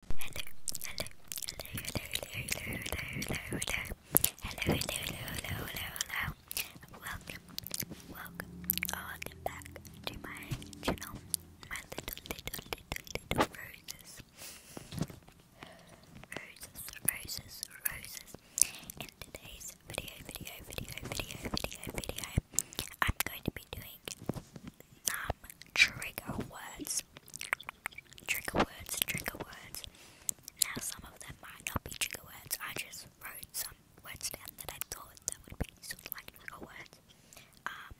hello, hello. Welcome, welcome, welcome back to my channel, my little, little, little, little roses. Roses, roses, roses. In today's video, video, video, video, video, video, I'm going to be doing trigger words. Trigger words, trigger words. Now, some of them might not be trigger words. I just wrote some words down that I thought that would be sort of like trigger words. Um,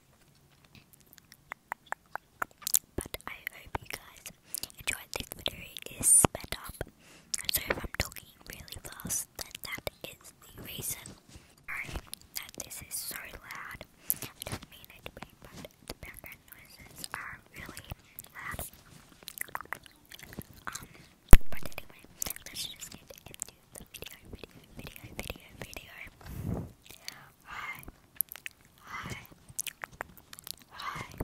but I hope you guys enjoyed this video. It is sped up, so if I'm talking really fast, then that is the reason. that this is so loud bad. I don't mean it but the background noises are really loud. Um, but anyway, let's just get into the video, video, video, video, video. hi, hi, hi, hi,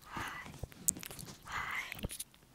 hi, hi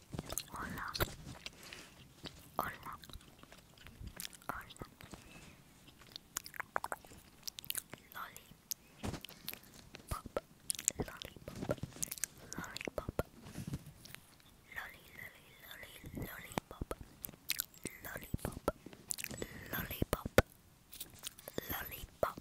Hola. Hola. Hola. Lolly. Pop. Lollipop. Lollipop. Lolly, lolly, lolly, lollipop. Lollipop. Lollipop. Lollipop.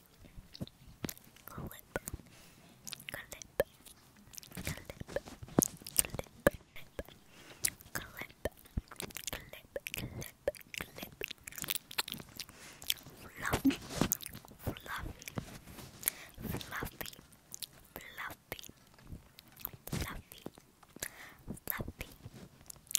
clip, clip, clip, clip. Clip, clip, clip, clip. Fluffy, fluffy, fluffy, fluffy, fluffy, fluffy,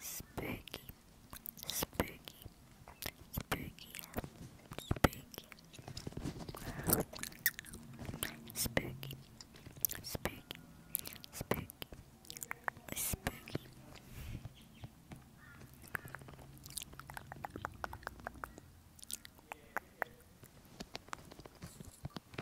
Spooky, spooky, spooky, spooky, spooky, spooky, spooky, spooky.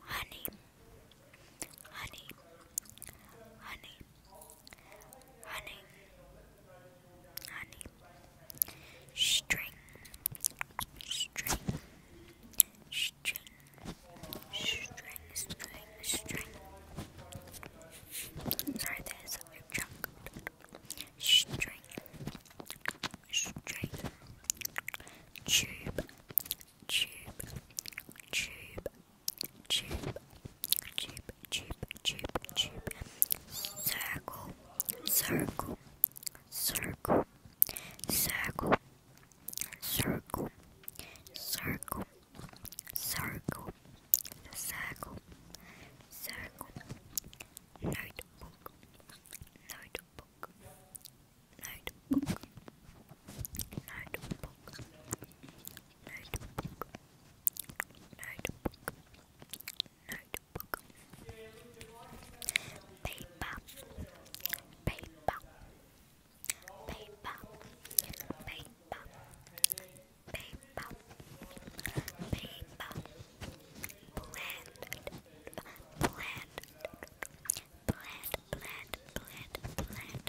honey, honey, honey, honey, honey, string, string, string, string, string, string. Sorry, there's a chunk. String, straight tube, tube, tube, tube, tube, tube, tube, tube, circle, circle, circle, circle, circle, circle, circle, circle, circle, notebook, notebook notebook, notebook, notebook, notebook, notebook, notebook, paper, paper, paper, paper, paper, paper plant, plant, plant, plant, plant, plant, plant.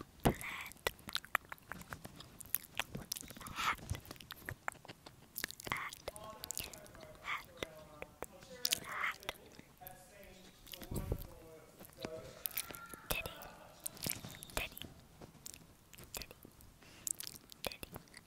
Hat, hat, hat, hat. Teddy, teddy, teddy, teddy. Teddy,